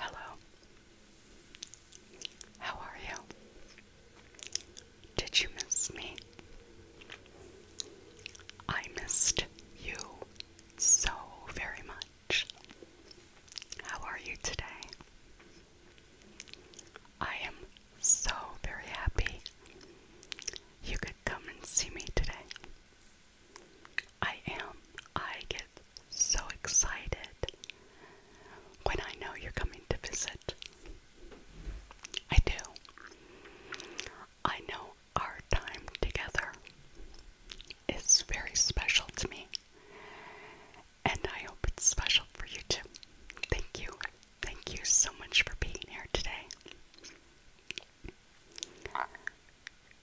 Hello. How are you? Did you miss me? I missed you so very much. How are you today? I am so very happy you could come and see me today. I am. I get so excited when I know you're coming to visit. I do. I know our time together is very special to me, and I hope it's special for you too. Thank you. Thank you so much for being here today.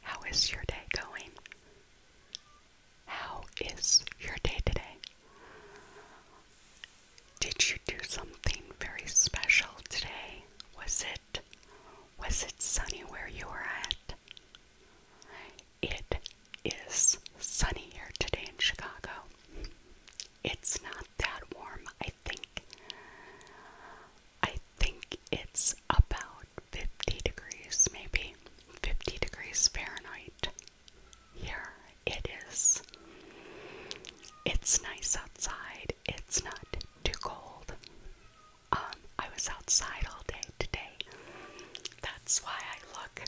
How is your day going? How is your day today? Did you do something very special today? Was it was it sunny where you were at? It is sunny here today in Chicago. It's not that warm, I think. I think it's about 50 degrees, maybe 50 degrees Fahrenheit. Here it is. It's nice outside, it's not too cold. Um, I was outside all day today. That's why I look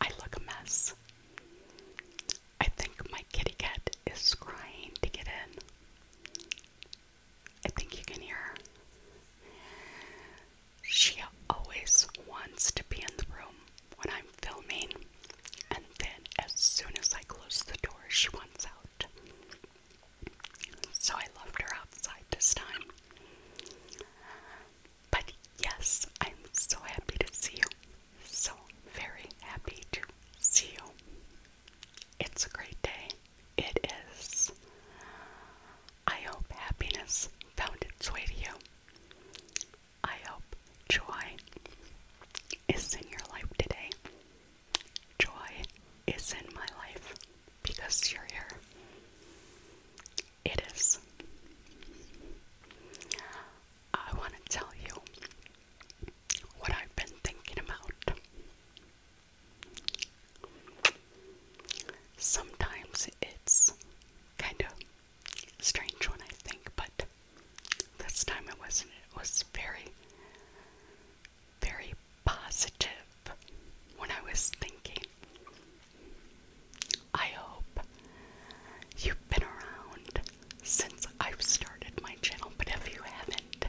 I look a mess. I think my kitty cat is crying to get in. I think you can hear her. She always wants to be in the room when I'm filming, and then as soon as I close the door, she wants out. So I left her outside this time. But yes, I'm so happy to see you. So very happy to see you. It's a great day. It is. I hope happiness found its way to you. I hope joy is in your life today. Joy is in my life because you're here. It is. I want to tell you what I've been thinking about. Sometimes it's kind of strange one I think, but this time it wasn't. It was very, very positive when I was thinking. I hope you've been around since I've started my channel, but if you haven't,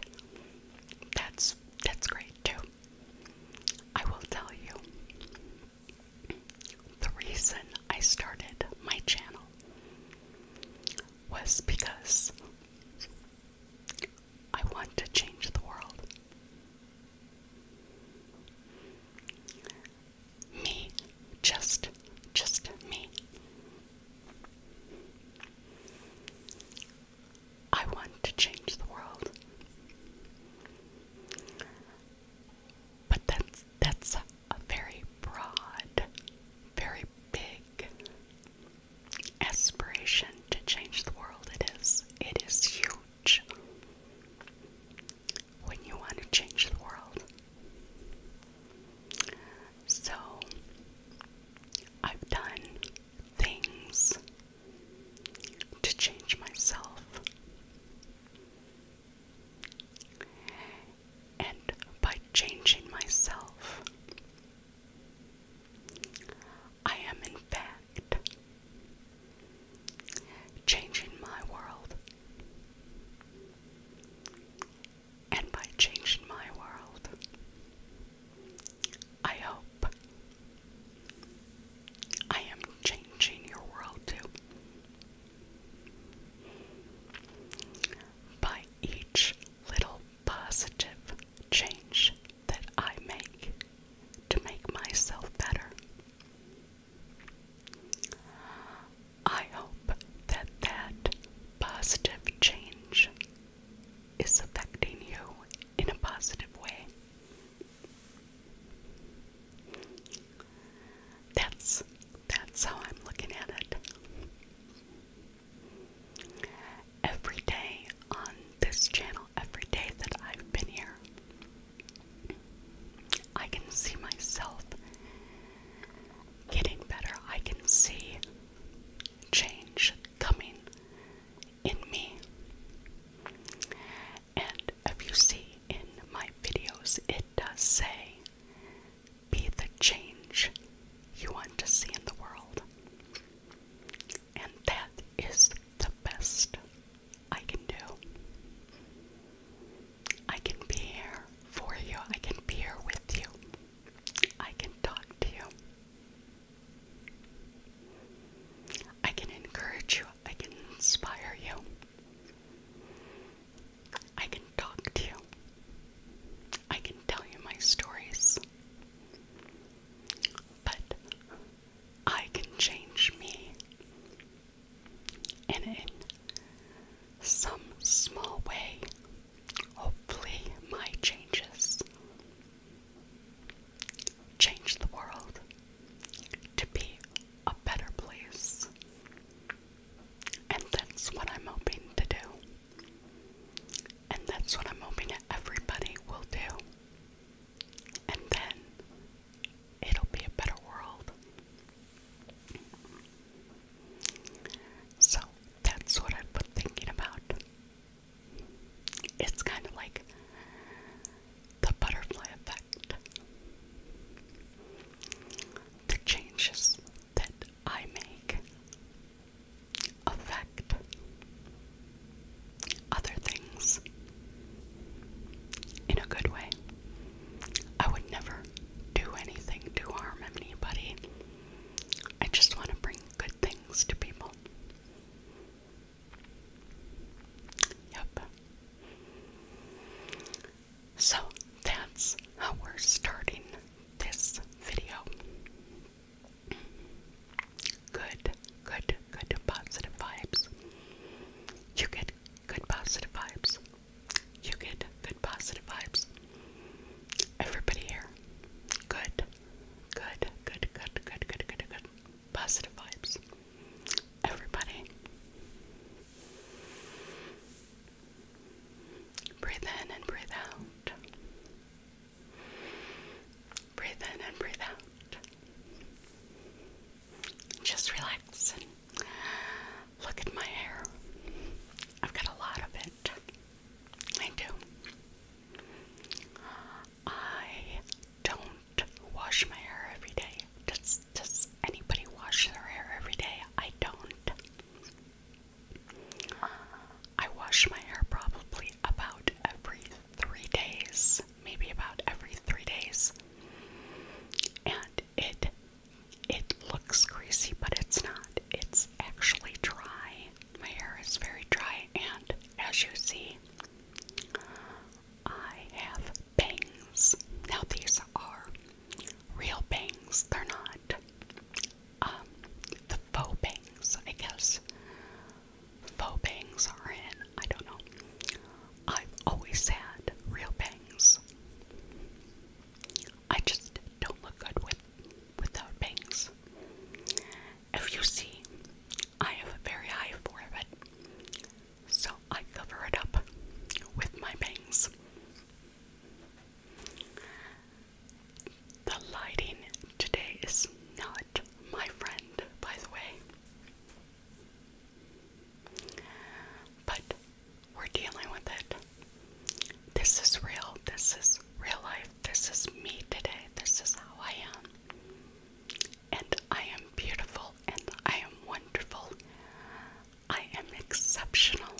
that's that's great too. I will tell you the reason I started my channel was because I want to change the world. Me, just, just me. I want to change the world. But that's that's a very broad, very big aspiration to change the world. It is. It is huge. When you want to change the world. So I've done things to change myself. And by changing myself, I am in fact changing my world. And by changing my world, I hope I am changing your world too. By each little positive change that I make to make myself better. I hope that that positive change is affecting you in a positive way. That's that's how I'm looking at it. Every day on this channel, every day that I've been here, I can see myself getting better. I can see change coming in me. And if you see in my videos, it does say, be the change you want to see in the world. And that is the best I can do. I can be here for you, I can be here with you, I can talk to you. I can encourage you, I can inspire you, I can talk to you, I can tell you my stories, but I can change me. And in some small way, hopefully, my changes change the world to be a better place. And that's what I'm hoping to do. And that's what I'm hoping everybody will do. And then it'll be a better world. So that's what I've been thinking about. It's kind of like the butterfly effect. The changes that I make affect other things in a good way. I would never do anything to harm anybody. I just want to bring good things to people. Yep. So that's how we're starting this video. Good, good, good positive vibes. You get good positive vibes. You get good positive vibes. Everybody here. Good. Good, good, good, good, good, good, good positive vibes. Everybody. Breathe in and breathe out. Breathe in and breathe out. Just relax and look at my hair. I've got a lot of it. I do. I don't wash my hair every day. Does does anybody wash their hair every day? I don't. I wash my hair probably about every three days, maybe about every three days. And it it looks greasy, but it's not. It's actually dry. My hair is very dry and as you see, I have bangs. Now these are real bangs. They're not um, the faux bangs, I guess. Faux bangs are in. I don't know. I've always had real bangs. I just don't look good with without bangs. If you see I have a very high forehead, so I cover it up with my bangs. The lighting today is not my friend, by the way. But we're dealing with it. This is real. This is real life. This is me today. This is how I am and I am beautiful, and I am wonderful. I am exceptional.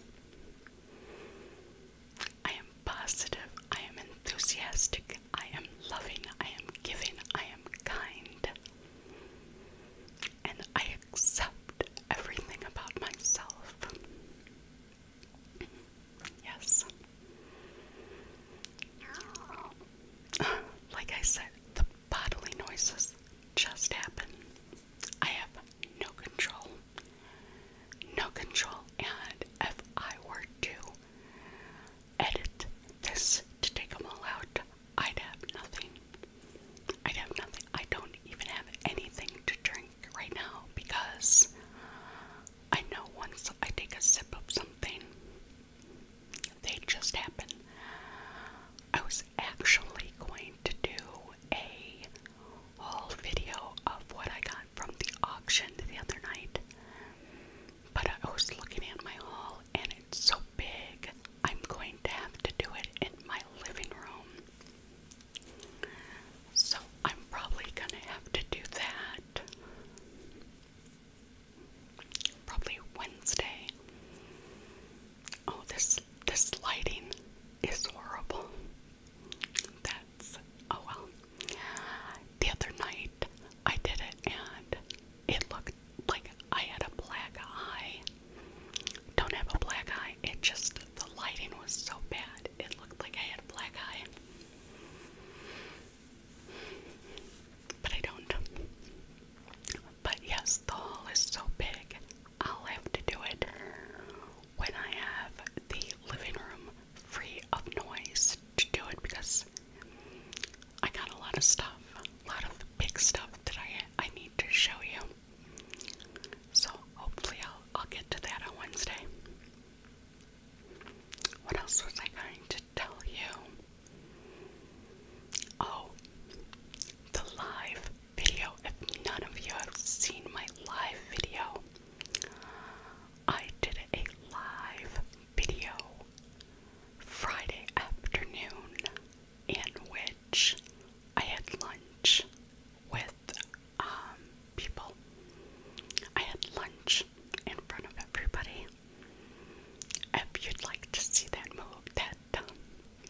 I am positive. I am enthusiastic. I am loving. I am giving. I am kind. And I accept everything about myself. Yes. Like I said, the bodily noises just happen. I have no control. No control. And if I were to edit this to take them all out, I'd have nothing. I'd have nothing. I don't even have anything to drink right now because I know once I take a sip of something, they just happen. I was actually going to do a whole video of what I got from the auction the other night, but I was looking at my haul and it's so big, I'm going to have to do it in my living room. So I'm probably going to have to do that. Probably Wednesday. Oh, this this lighting is horrible. That's oh well. The other night I did it and it looked like I had a black eye. Don't have a black eye. It just the lighting was so bad. It looked like I had black eye. But I don't. But yes, the haul is so big, I'll have to do it when I have the living room free of noise to do it because I got a lot of stuff, a lot of big stuff that I I need to show you. So hopefully I'll I'll get to that on Wednesday. What else was I going to tell you. Oh, the live video. If none of you have seen my live video, I did a live video Friday afternoon in which I had lunch with um, people. I had lunch in front of everybody. If you'd like to see that that um,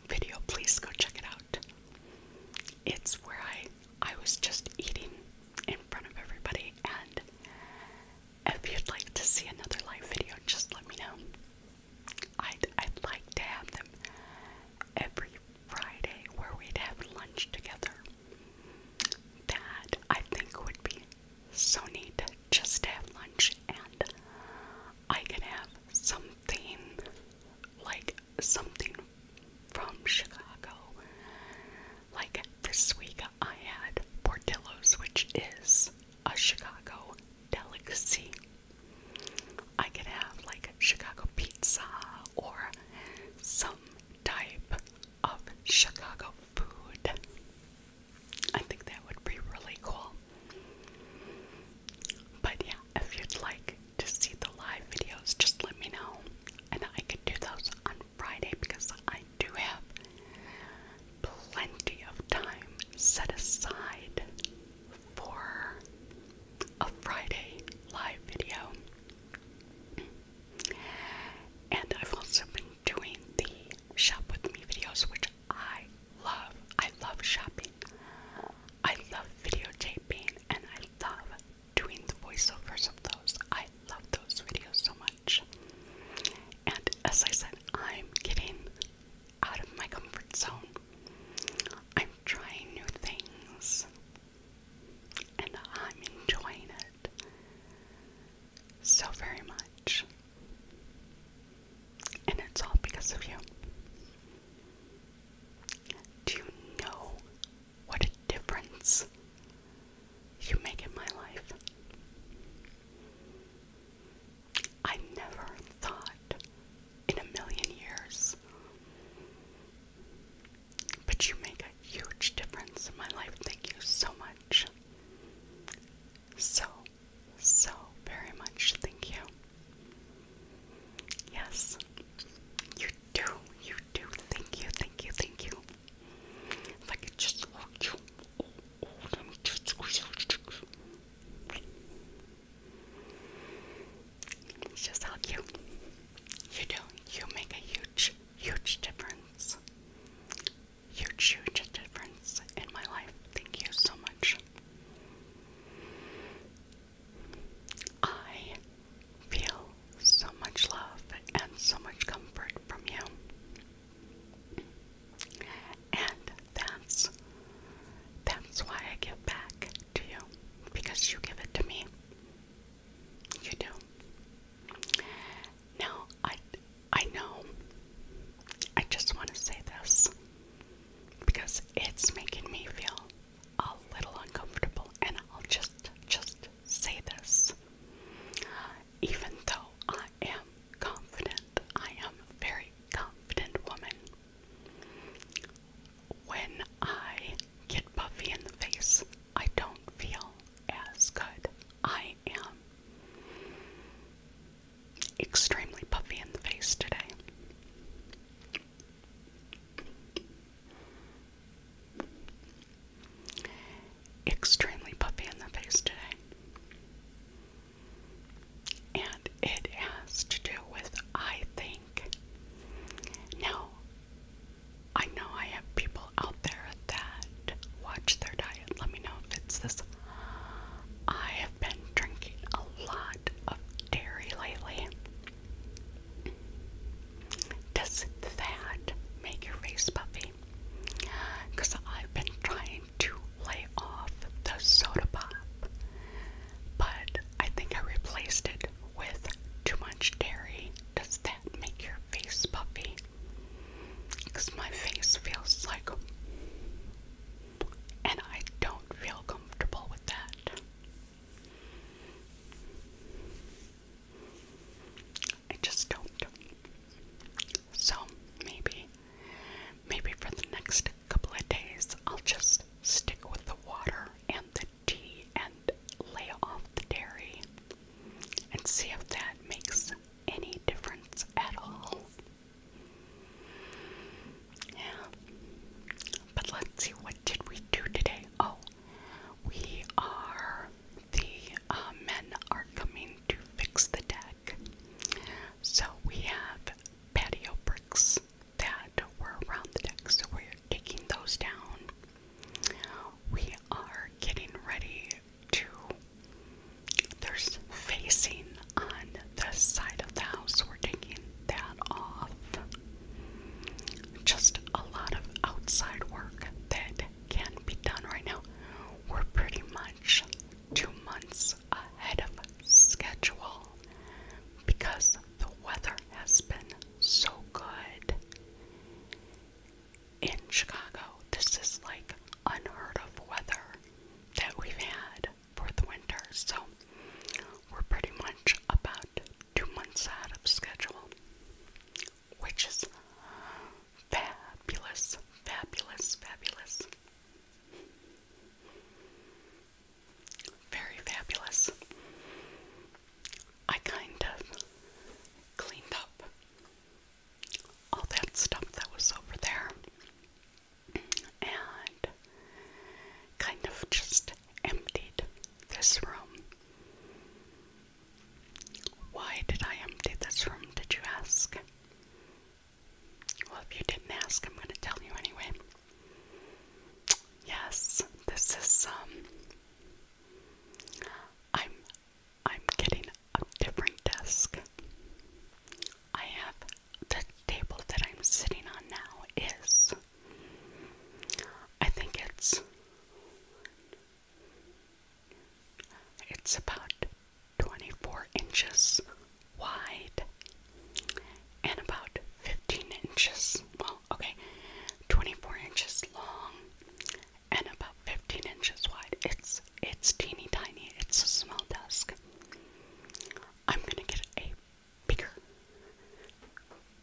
video, please go check it out. It's where I I was just eating in front of everybody, and if you'd like to see another live video, just let me know. i I'd like to have them every Friday where we'd have lunch together. That I think would be so neat just have lunch and I can have something like something from Chicago. Like this week I had Portillo's, which is a Chicago delicacy. I could have like Chicago pizza or some type of Chicago food. I think that would be really cool. But yeah, if you'd like to see the live videos, just let me know. And I could do those on Friday because I do have plenty of time set aside for a Friday live video. And I've also been doing the shop with me videos, which I love. I love shopping. I love videotaping and I love doing the voiceovers of those. I love those videos so much. And as I said, I'm getting out of my comfort zone. I'm trying new things and I'm enjoying it so very much. And it's all because of you. Do you know what a difference you make in my life? I never thought in a million years, but you make a huge difference in my life. Thank you so much. So, so very much thank you. Yes, you do, you do. Thank you, thank you, thank you. If I could just hold oh, you. Oh, oh, just hug you. You do. You make a huge, huge difference. You've huge, huge difference in my life. Thank you so much. I feel so much love and so much comfort from you. And that's that's why I give back to you because you give it to me. You do. Now, I, I know, I just want to say this because it's making me feel a little uncomfortable, and I'll just, just say this. Even though I am confident, I am a very confident woman. When I get puffy in the face, I don't feel as good. I am extremely puffy in the face today. Extremely puffy in the face today. And it has to do with, I think. Now, I know I have people there that watch their diet. Let me know if it's this. I have been drinking a lot of dairy lately. Does that make your face puffy? Because I've been trying to lay off the soda pop, but I think I replaced it with too much dairy. Does that make your face puffy? because my face feels like, and I don't feel comfortable with that. I just don't. So maybe, maybe for the next couple of days, I'll just stick with the water and the tea and lay off the dairy and see if that makes any difference at all. Yeah. But let's see, what did we do today? Oh, we are, the uh, men are coming to fix the deck. So we have patio bricks that were around the deck, so we're taking those down. We are getting ready two. There's facing on the side of the house. We're taking that off. Just a lot of outside work that can't be done right now. We're pretty much two months ahead of schedule because the weather has been so good in Chicago. This is like unheard of weather that we've had for the winter. So we're pretty much about two months out of schedule, which is fabulous, fabulous, fabulous. Very fabulous. I kind of cleaned up all that stuff that was over there and kind of just emptied this room. Why did I empty this room, did you ask? Well, if you didn't ask, I'm going to tell you anyway. Yes, this is, um, I'm I'm getting a different desk. I have the table that I'm sitting on now is I think it's it's about 24 inches wide and about 15 inches well okay 24 inches long and about 15 inches wide. It's it's teeny tiny. It's a small desk. I'm gonna get a bigger,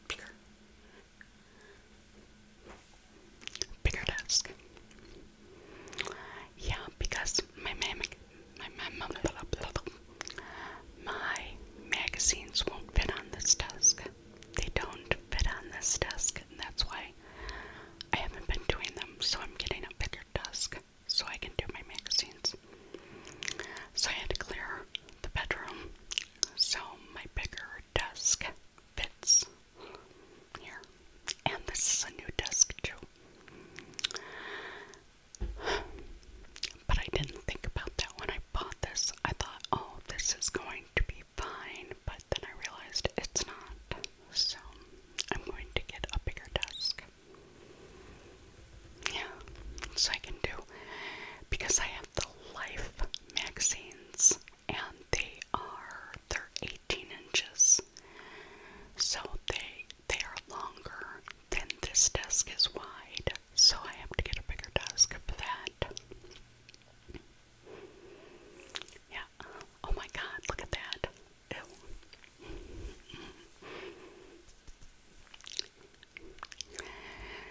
bigger, bigger desk. Yeah, because my mam my my magazines won't fit on this desk. They don't fit on this desk, and that's why I haven't been doing them. So I'm getting a bigger dusk so I can do my magazines. So I had to clear the bedroom so my bigger desk fits here. And this is a new desk too. But I didn't think about that when I bought this. I thought, oh, this is going to be fine, but then I realized it's not. So I'm going to get a bigger desk. Yeah, so I can do because I have the Life magazines and they are they're 18 inches. So they they are longer than this desk is wide. So I have to get a bigger desk for that. Yeah. Oh my god, look at that.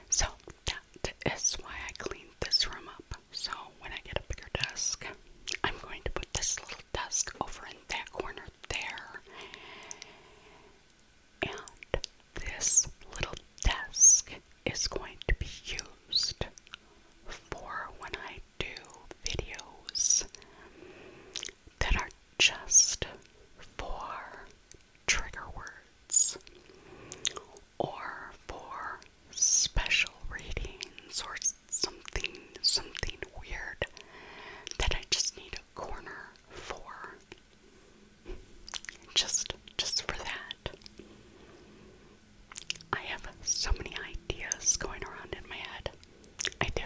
So that is why I cleaned this room up. So when I get a bigger desk, I'm going to put this little desk over in that corner there. And this little desk is going to be used for when I do videos that are just for trigger words or for special readings or something something weird that I just need a corner for just just for that I have so many ideas going around in my head I do.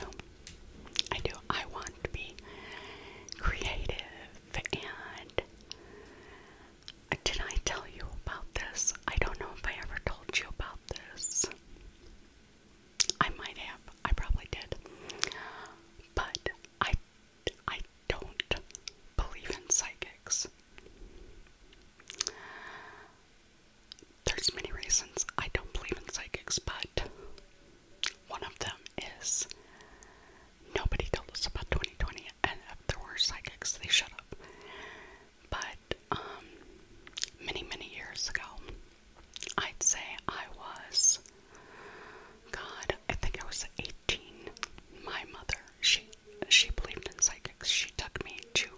I do. I want to be creative and did I tell you about this? I don't know if I ever told you about this. I might have. I probably did. But I I don't believe in psychics there's many reasons I don't believe in psychics, but one of them is nobody told us about 2020, and if there were psychics, they shut up. But um, many, many years ago, I'd say I was, God, I think I was 18. My mother, she she believed in psychics. She took me to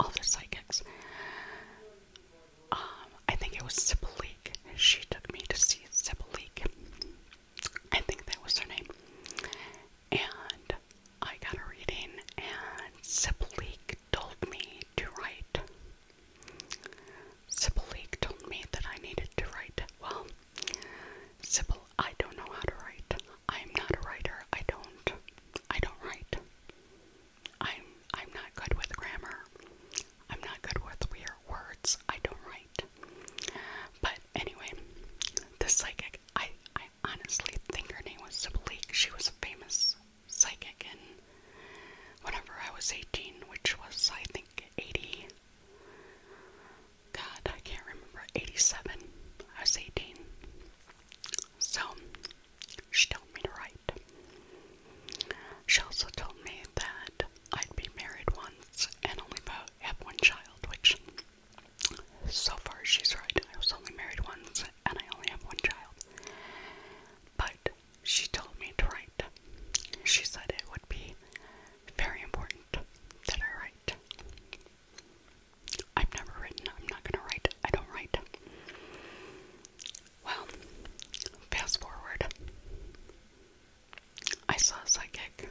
all the psychics. Um, I think it was Sibylleek. She took me to see Sibylleek. I think that was her name. And I got a reading, and Sibylleek told me to write. Sibylleek told me that I needed to write. Well, Sibyl, I don't know how to write. I'm not a writer. I don't. I don't write. I'm I'm not good with grammar. I'm not good with weird words. I don't write. But anyway, the psychic I I honestly think her name was Sibleek. She was a famous psychic and whenever I was 18, which was I think 80 God, I can't remember 87. I was 18. So she told me to write. She also told me that I'd be married once and only have one child, which so far she's right. I was only married once and I only have one child. But she told me to write. She said it would be very important that I write. I've never written. I'm not going to write. I don't write. Well, fast forward. I saw a psychic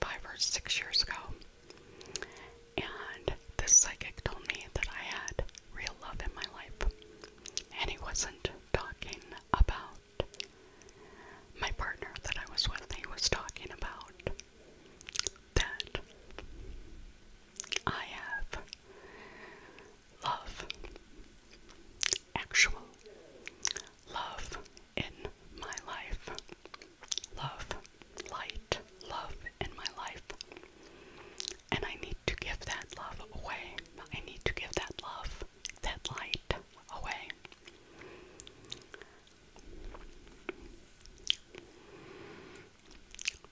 five or six years ago, and this psychic told me that I had real love in my life, and he wasn't talking about my partner that I was with, he was talking about that I have love, actual love in my life, love, light, love in my life. And I need to give that love away. I need to give that love, that light away.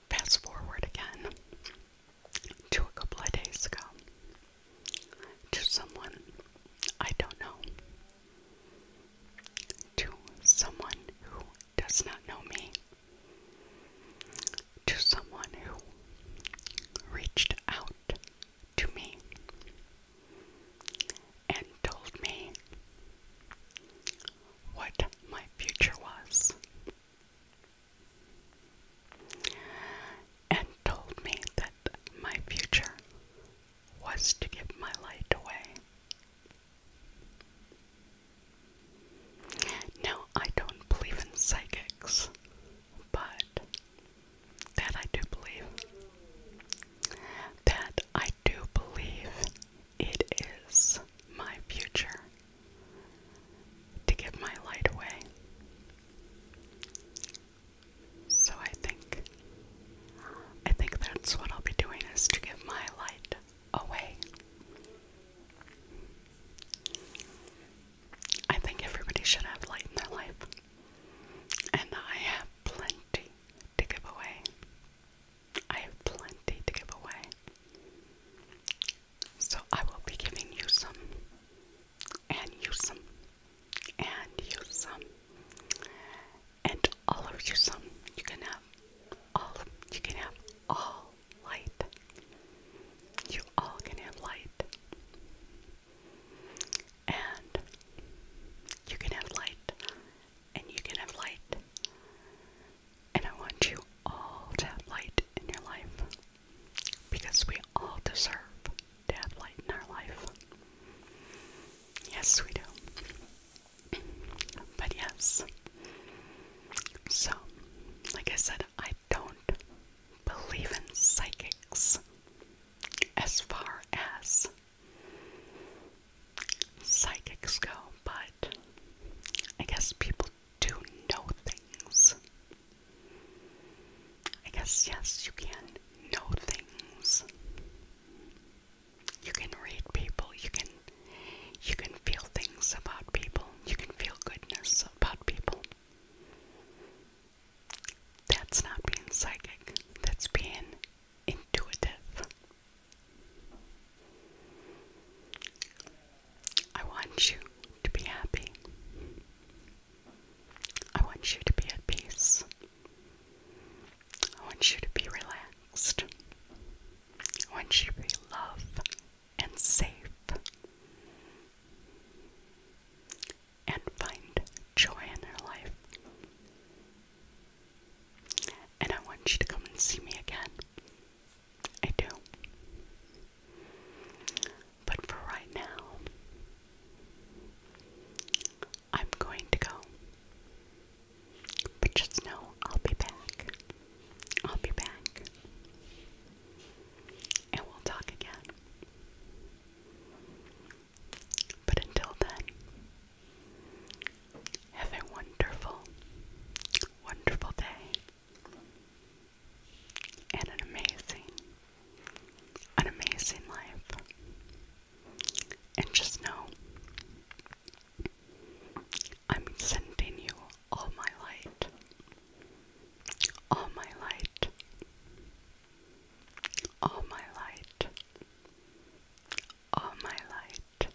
Fast forward again to a couple of days ago to someone I don't know, to someone who does not know me, to someone who reached out to me and told me what my future was, and told me that my future was to give my light away. Now, I don't believe in psychics, but that I do believe. That I do believe it is my future to give my light away. So I think I think that's what I'll be doing is to give my light away. I think everybody should have light in their life. And I have plenty to give away. I have plenty to give away. So I will be giving you some, and you some, and you some, and all of you some. You can have all. you can have all light. You all can have light, and you can have light, and you can have light, and I want you all to have light in your life because we all deserve to have light in our life. Yes, we do. But yes. So, like I said, I don't believe in psychics as far as psychics go, but I guess people to know things. I guess, yes, you can know things. You can read people, you can you can feel things about people, you can feel goodness about people. That's not being psychic, that's being intuitive. I want you to be happy. I want you to be at peace. I want you to be relaxed. I want you to be loved and safe. And find joy in your life. And I want you to come and see me again I do. But for right now, I'm going to go. But just know I'll be back. I'll be back. And we'll talk again. But until then, have a wonderful, wonderful day and an amazing, an amazing life. And just know I'm sending you all my light, all my light, all my light, all my light,